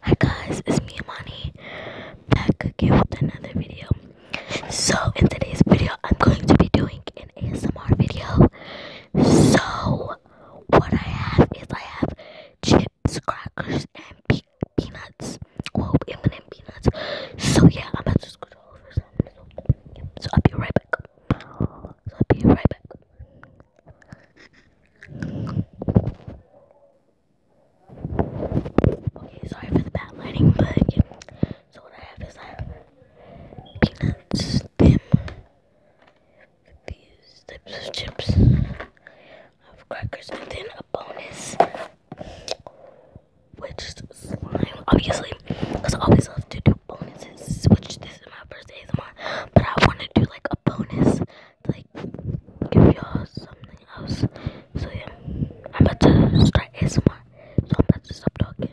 Hi guys, it's me Amani back again with another video. So in today's video I'm going to be doing an ASMR video. So what I have is I have chips, crackers, and pe peanuts. Well, M&M peanuts. So yeah, I'm about to scoot over some. So I'll be right back. I'll be right back. Okay, sorry for the bad lighting, but So what I have is I uh, peanuts, them, these types of chips, I have crackers, and then a bonus, which slime, obviously, because I always love to do bonuses, which this is my first ASMR, but I want to do like a bonus like give y'all something else. So yeah, I'm about to start ASMR. So I'm about to stop talking.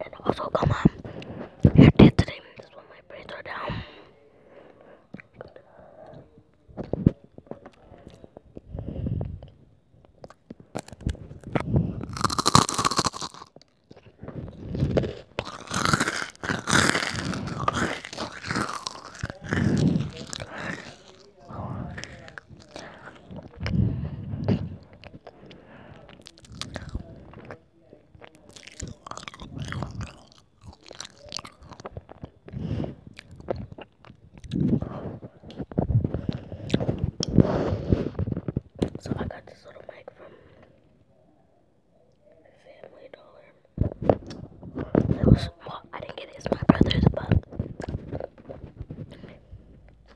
And also, come on. You're today. That's when my braids down. So I got this little mic from Family Dollar. It was well, I didn't get it. It's my brother's, but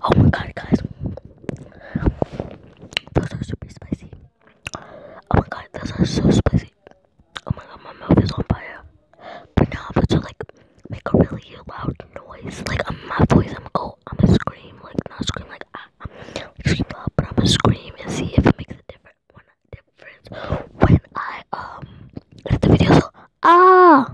Oh my god, guys. Those are super spicy. Oh my god, those are so spicy. Oh my god, my mouth is on fire. But now I'm going to like make a really loud noise. Like I'm, my voice, I'm going I'm gonna scream, like not scream, like ah, I'm scream loud, but I'm gonna scream and see if it makes a difference when I um edit the video. So ah.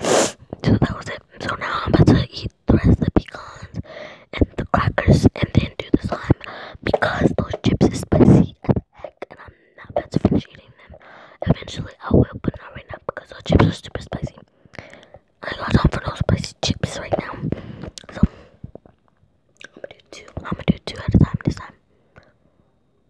So that was it. So now I'm about to eat the rest of the pecans and the crackers and then do the slime because those chips are spicy as heck and I'm not about to finish eating them. Eventually I will, but not right now because those chips are super spicy. I got time for those spicy chips right now. So I'm gonna do two. I'm gonna do two at a time this time.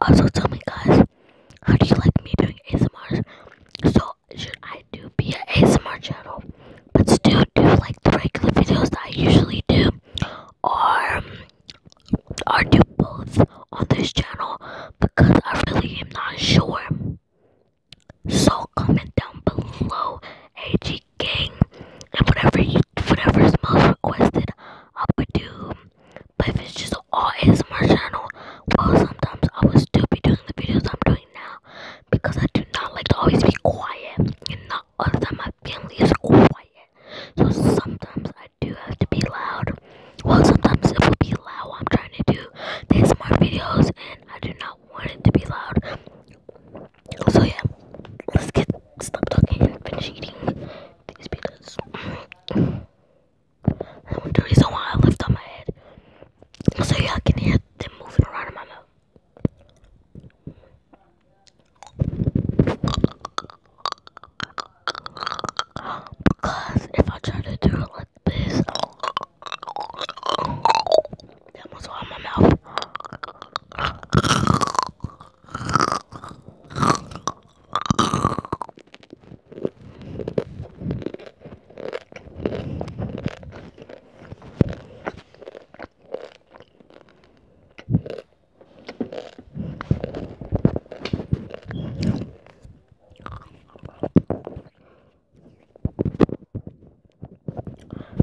Also, tell me guys, how do you like me doing ASMRs? So should I do be a ASMR channel, but still do like the regular videos that I usually do, or or do both on this channel because I really am not sure. So comment down below, AG Gang, and whatever you, whatever is most requested, I would do. But if it's just also all my channel. Well, sometimes I would still be doing the videos I'm doing now because I do not like to always be quiet and not all the time my family is quiet. So sometimes I do have to be loud. Well, sometimes it will be loud I'm trying to do these ASMR videos and I do not want it to be loud. So yeah, let's get stop talking and finish eating these peanuts. the reason why I left on my head so y'all can hear them moving around in my mouth. Because if I try to do it like this, that was all my mouth.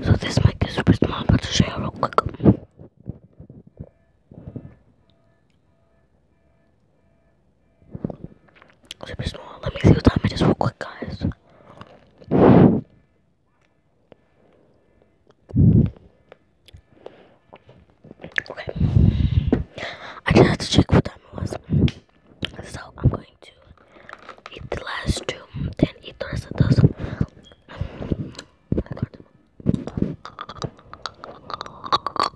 So this mic is super small, but to show you real quick. Let me see what time it is real quick, guys. Okay. I just had to check what time it was. So I'm going to eat the last two, then eat the rest of those. Oh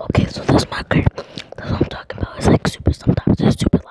Okay, so that's my crib. That's what I'm talking about. It's like super sometimes. It's super loud.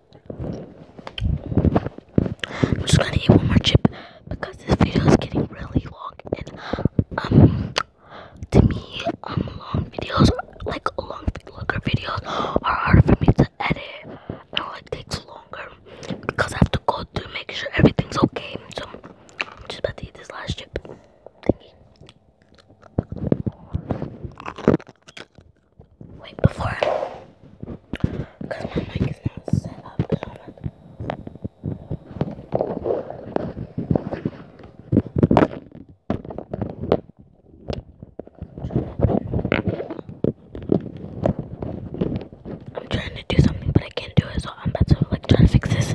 I'm just gonna eat one more chip because this video is getting really long and um to me um, long videos like long longer videos are hard for me to edit and like takes longer because I have to go through make sure everything's okay. So I'm just about to eat this last chip. Wait, before. Because my mic is not set up. I'm trying to do something, but I can't do it, so I'm about to like try to fix this.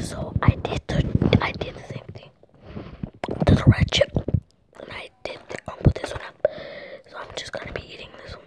So I did the I did the same thing to the red chip, and I did the combo um, this one up. So I'm just gonna be eating this one.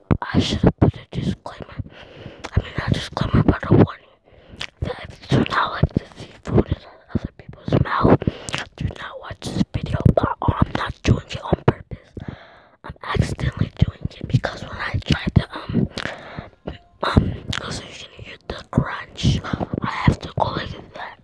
I should have put a disclaimer. I mean, not a disclaimer, but a warning. That if you do not like to see food in other people's mouth, do not watch this video. But oh, I'm not doing it on purpose. I'm accidentally doing it because when I tried to, um, um, because you can hear the crunch, I have to go like that.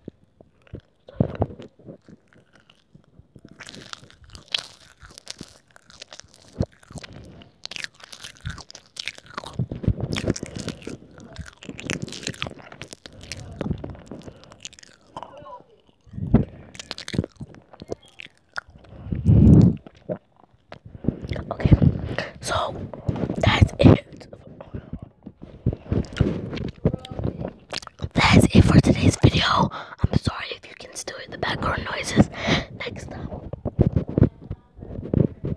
Okay, so that's it. That's it for today's video. I'm sorry if you can still hear the background noises. Next up,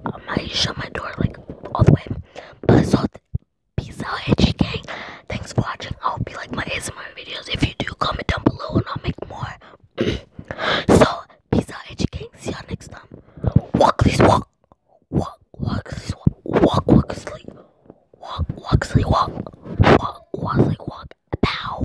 um, I shut my door like all the way. peace out, HG gang. Thanks for watching. I hope you like my ASMR videos. If you do, comment down below and I'll make more. so, peace out, HG gang. See y'all next time. Walk, walk. Walk, walk, walk. Walk, walk, Walk, walk, sleep, walk. Walk,